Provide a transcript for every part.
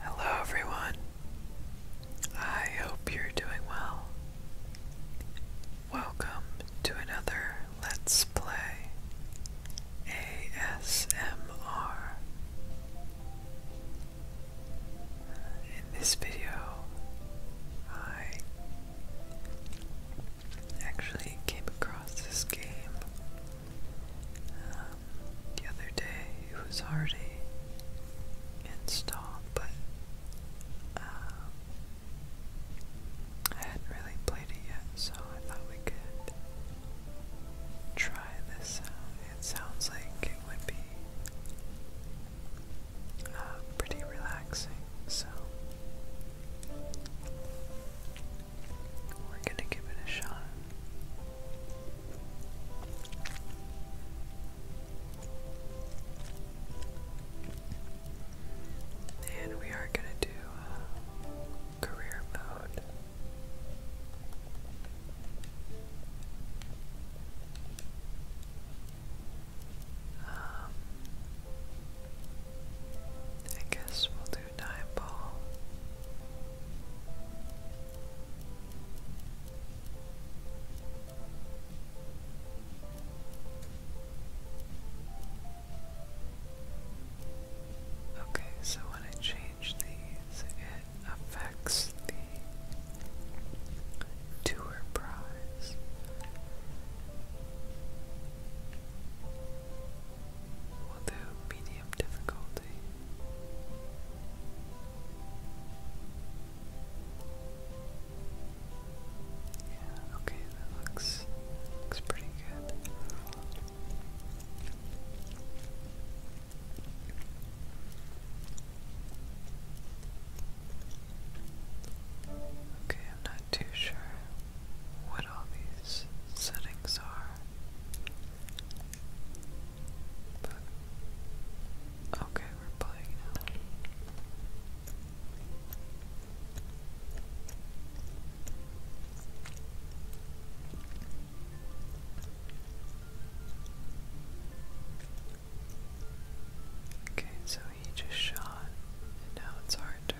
Hello, everyone. I hope you're doing well. Welcome to another Let's Play ASMR. In this video, I actually came across this game um, the other day it was already installed, but um, I hadn't really played it yet, so I thought we could try this out. It sounds like it would be uh, pretty relaxing, so we're gonna give it a shot. And we are gonna do uh, career mode. Um, I guess we'll do Okay, so when I change these, it affects the tour prize. We'll do medium okay, that looks looks pretty good. Okay, I'm not too sure what all these settings are okay, we're playing now. Okay, so he just shot, and now it's our turn.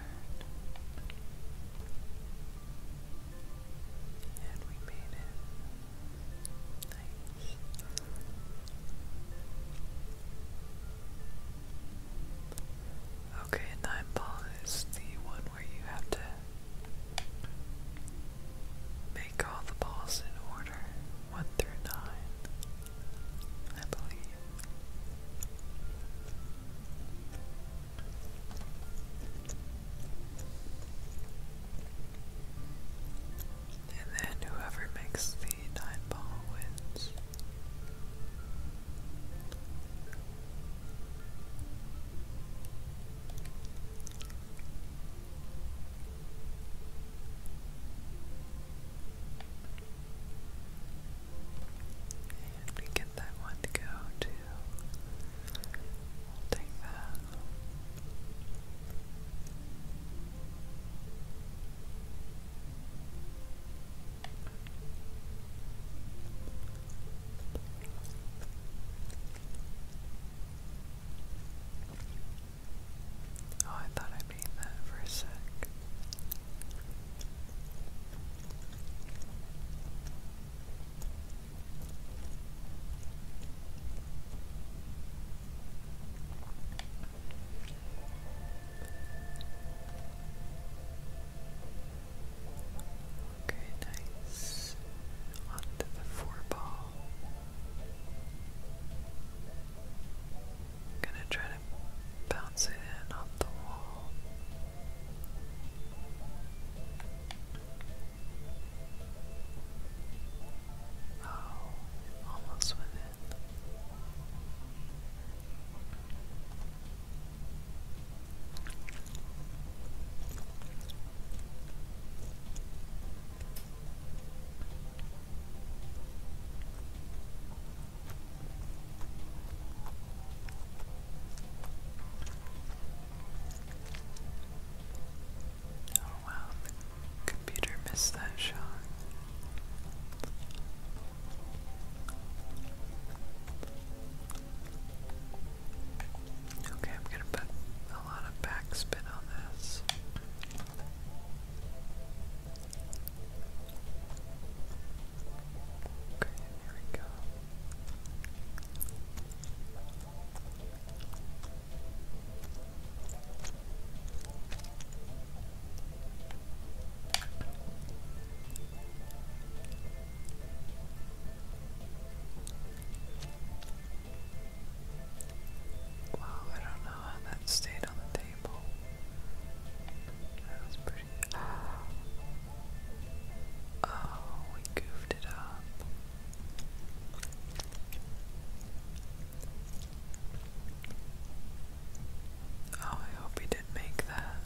Okay, nine ball is the one where you have to make all the balls in order, one through nine, I believe. And then whoever makes the nine ball wins. And we get that one to go We'll take that. Oh, I thought I made that for a sec. Okay, nice. On the four ball. gonna try to bounce it in off the wall. Oh, almost with it. Oh wow, the computer missed that shot. Okay, I'm gonna put a lot of backspin on this. Okay, here we go. Wow, I don't know how that stayed on the table. That was pretty. Oh, we goofed it up. Oh, I hope he did make that.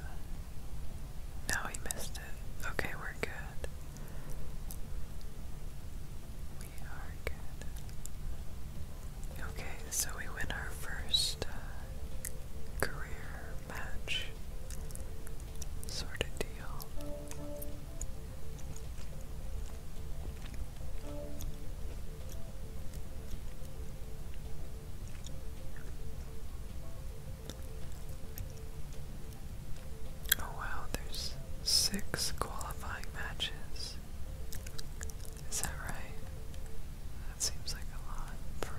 No, he missed it. Okay, we're good. We are good. Okay, so we win our first uh, career match sort of deal. Oh wow, there's six qualifying matches. Is that right? That seems like a lot for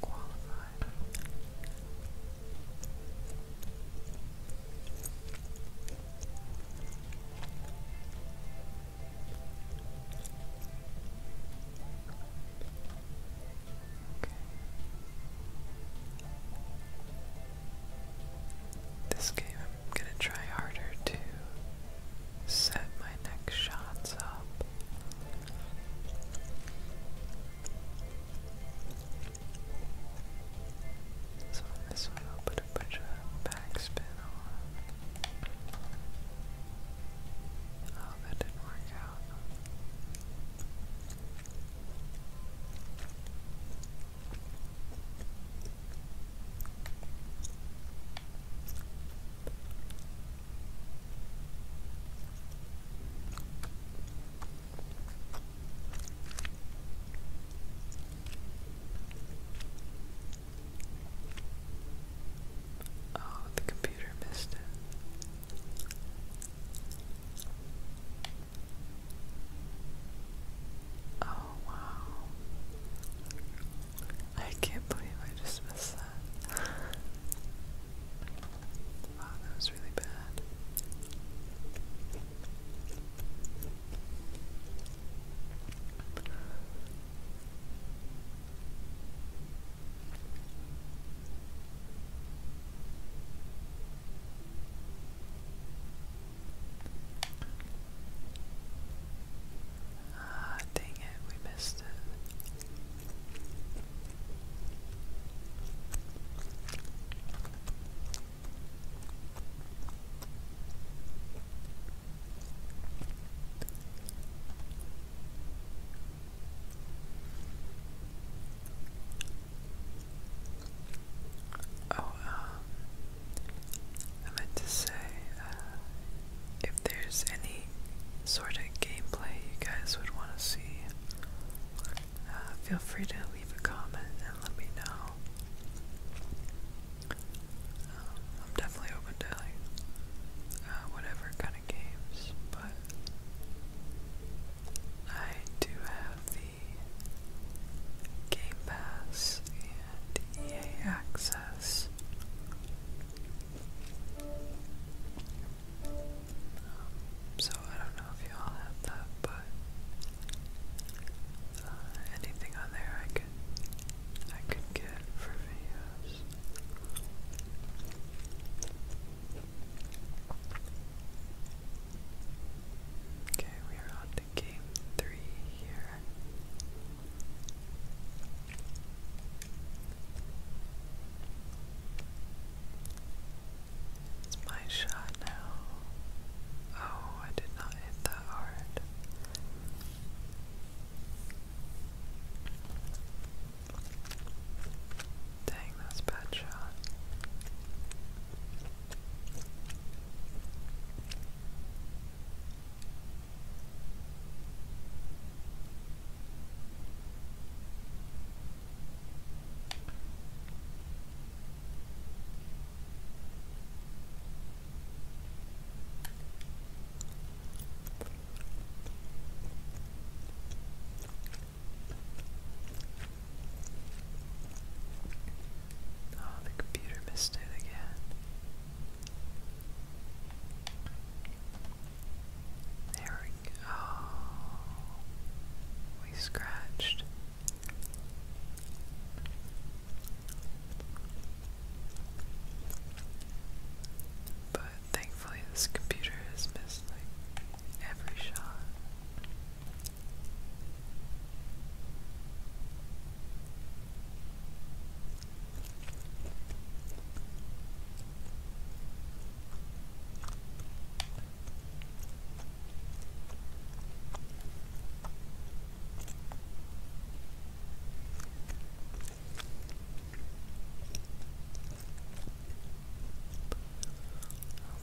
qualified. This game, I'm gonna try harder to set my next shots up. So this one I'll put a bunch of backspin on. Oh, that didn't work out. Oh, the computer missed it. Oh, wow. I can't believe I just missed that. Wow, that was really bad. Ah, dang it, we missed it. Oh, um, I meant to say, uh, if there's any sort of gameplay you guys would want to see, uh, feel free to leave a comment and let me know. Um, I'm definitely open to like uh, whatever kind of games, but I do have the Game Pass and EA Access. Um, so I don't don't know if you all have that, but uh, anything on there I could I could get for videos. Okay, we are on to game three here. It's my shot now. Oh, I did not hit that hard. Dang, that's bad shot. Oh, the computer missed it again. There we go. Oh, we scratched but thankfully, this computer has missed like every shot.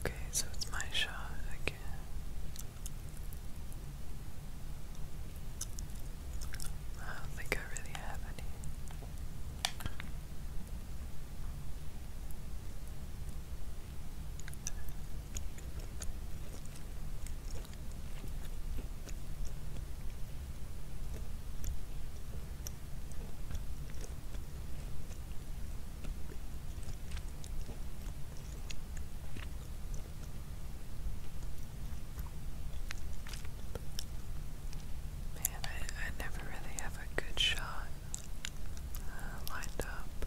Okay, so it's my shot again. I don't think I really have any. Man, I, I never really have a good shot uh, lined up.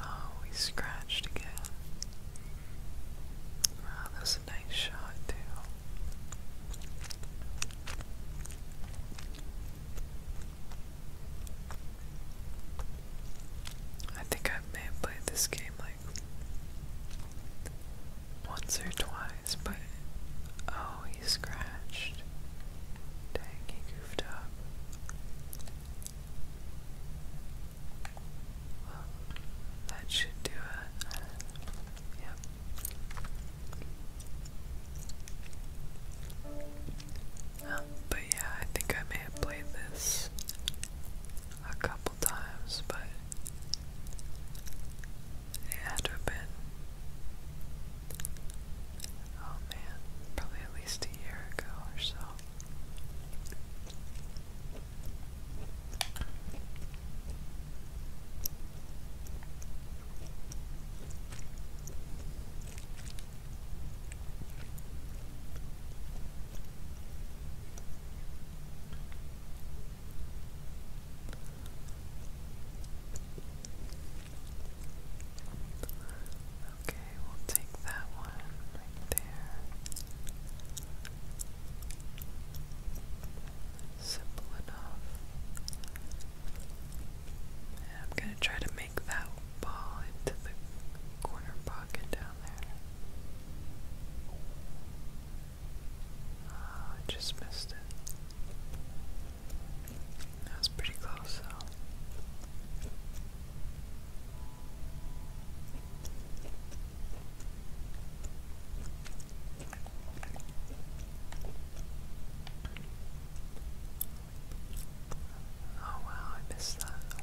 Oh, we scratched again. Wow, that's a nice shot, too. I think I may have played this game like once or twice, but oh, he scratched. Dang, he goofed up. Well, that should do it. Yep. but yeah, I think I may have played this a couple times, but it had to have been, oh man, probably at least a year ago or so. Okay, we'll take that one right there. Simple enough. I'm going to try to make that ball into the corner pocket down there. Oh, I just missed it. That was pretty close, though. Oh wow, I missed that.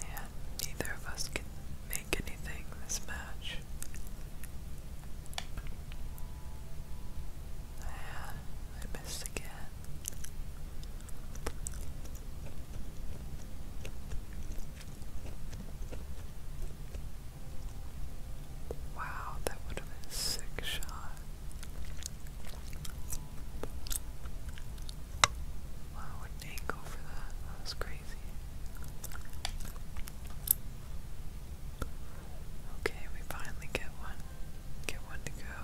Man, neither of us can make anything this match. I missed again. Wow, that would have been a sick shot. Wow, what an angle for that. That was crazy. Okay, we finally get one. Get one to go.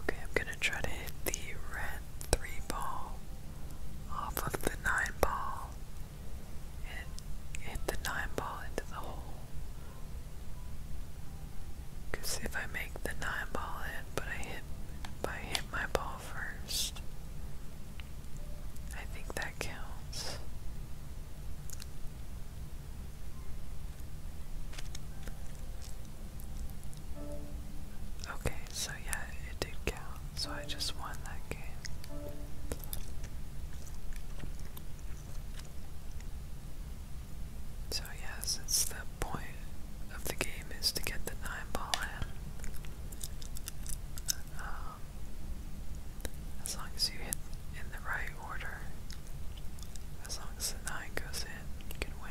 Okay, I'm gonna try to hit the red three ball off of the nine ball and hit the nine ball into the hole. Cause if I make the nine ball in, but I hit, I hit my ball first, I think that counts. Okay, so yeah, it did count. So I just won that game. So yeah, since the point of the game is to get the nine ball in, um, as long as you hit in the right order, as long as the nine goes in, you can win.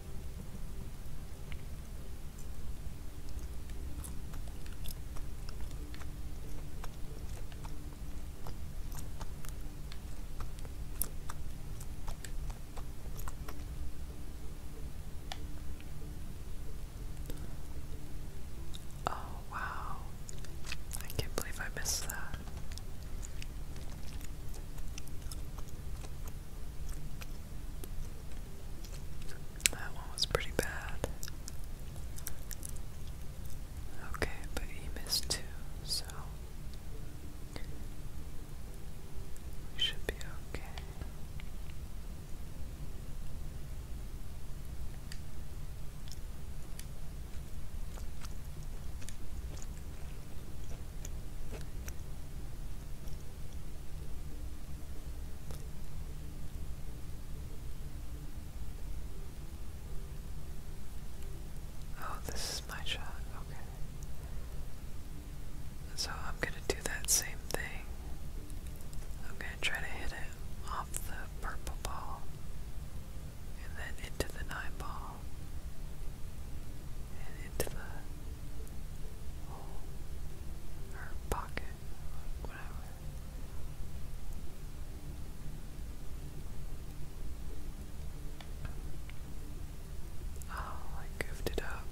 Oh, wow. I can't believe I missed that. That one was pretty bad. Okay, but he missed two, so we should be okay. Oh, this is my shot. Okay. So I'm gonna do that same thing. I'm gonna try to hit it off the purple ball and then into the nine ball and into the or pocket, whatever. Oh, I goofed it up.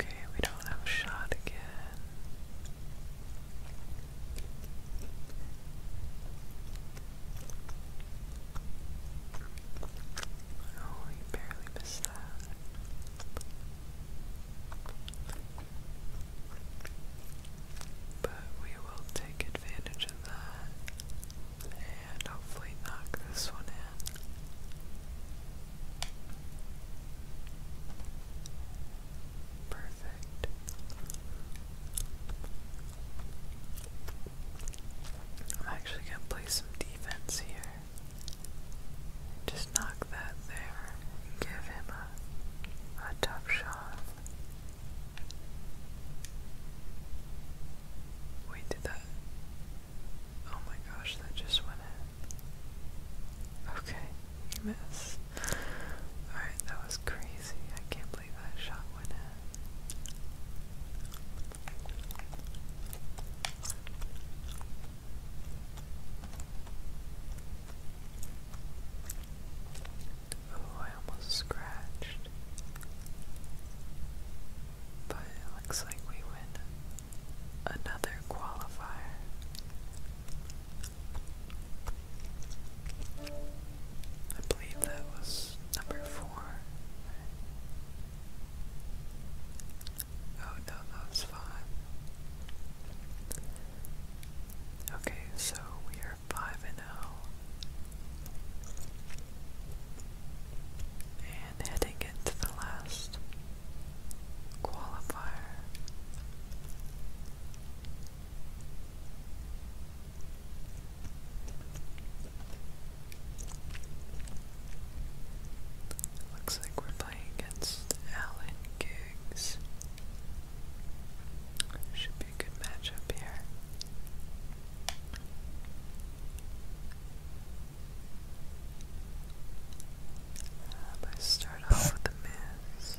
Okay, we don't have a shot again. Oh, you barely missed that. But we will take advantage of that and hopefully knock this one in. Perfect. I'm actually going to play some defense here. Just knock that there give him a, a tough shot. Wait, did that? Oh my gosh, that just went in. Okay, you missed. Alright, that was crazy. I can't believe that shot went in. Oh, I almost scratched. But it looks like we win another qualifier. I believe that was number four. Oh no, that was five. Okay, so we are five and oh. And heading into the last qualifier. Looks like we're playing against Alan Giggs. Should be a good matchup here. Let's um, start off with the Miz.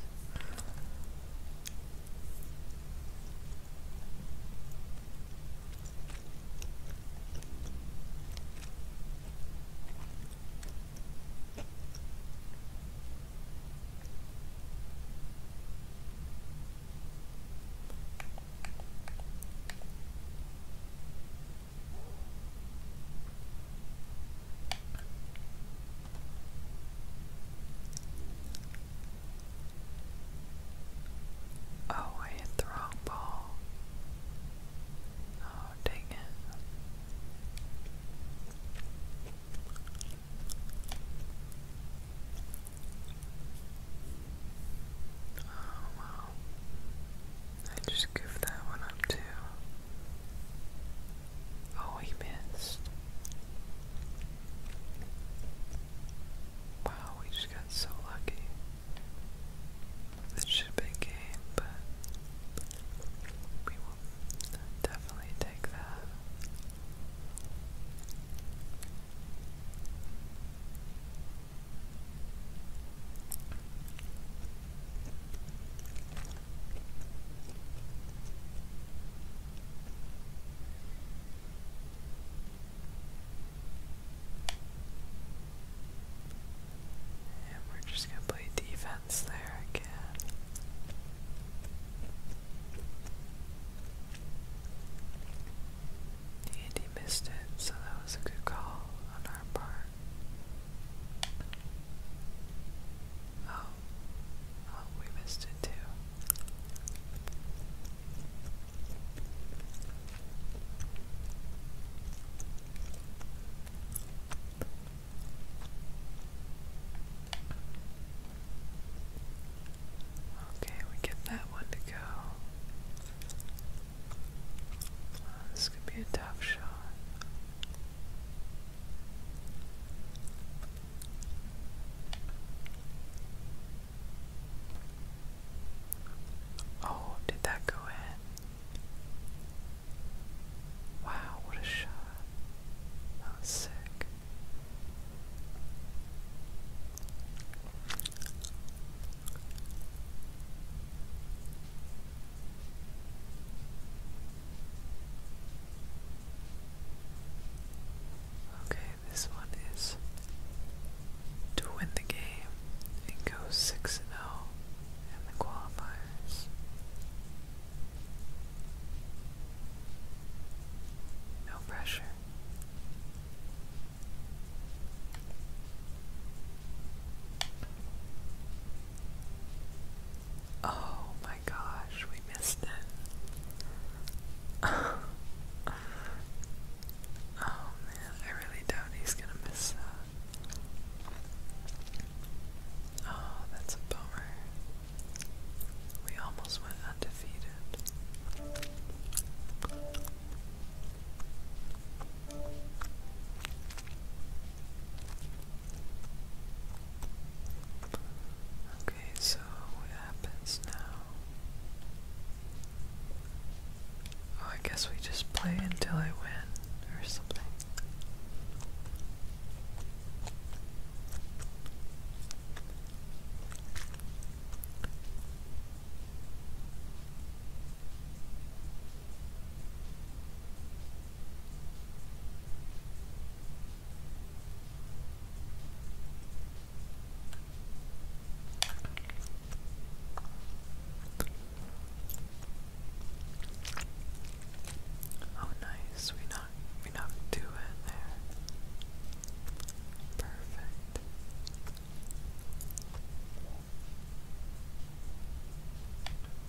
Oh, I hit the wrong ball. Oh, dang it. Oh wow. I just goofed that one up too. Oh, he missed. Wow, we just got so lucky. This should have been game, but we will definitely take that. And we're just going to play defense there again. And he missed it, so that was a good call oh, Oh, oh, we missed it too. Okay, we get that one to go. This could be a tough shot. Oh, did that go in? Wow, what a shot. That sick. Okay, this one is to win the game and go 6 0 in the qualifiers. No pressure. Oh my gosh, we missed it. oh man, I really doubt he's gonna miss that. Oh, that's a bummer. We almost went undefeated. Okay, so what happens now? Oh, I guess we just play until I win or something. Oh, nice. We knocked we knocked two in there. Perfect.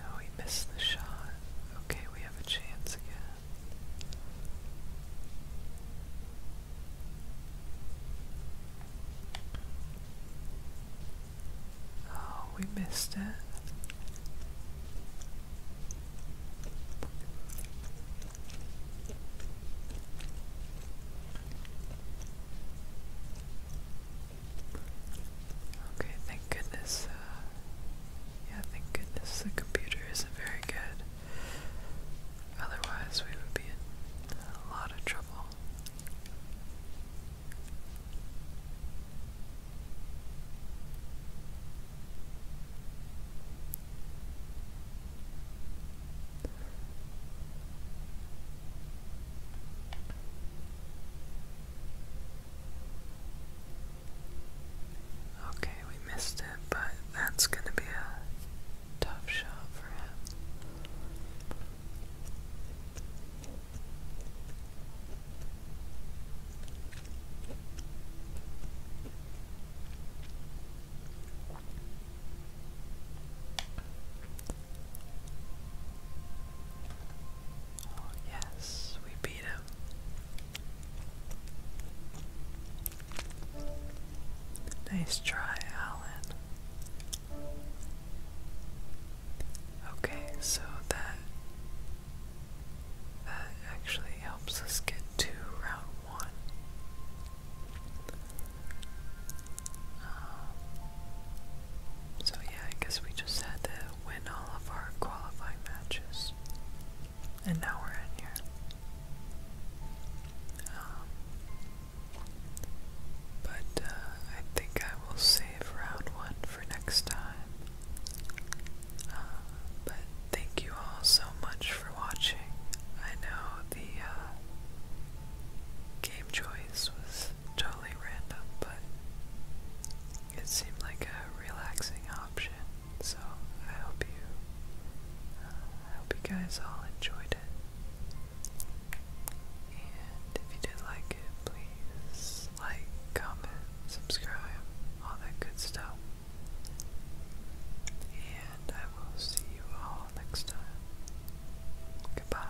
Oh, he missed the shot. Okay, we have a chance again. Oh, we missed it. Okay, thank goodness. Uh, yeah, thank goodness the computer isn't very good. Otherwise, we would be in a lot of trouble. Okay, we missed it, but that's going to be a tough shot for him yes, we beat him. Nice try, Alan. Okay, so that that actually helps us get to round one. Um, so yeah, I guess we just had to win all of our qualifying matches. And now we're in here. Um, but uh, I think I will save round one for next time. Uh, but thank you all so much for watching. I know the uh, game choice was tough random, but it seemed like a relaxing option. So I hope you, uh, I hope you guys all enjoyed it. And if you did like it, please like, comment, subscribe, all that good stuff. And I will see you all next time. Goodbye.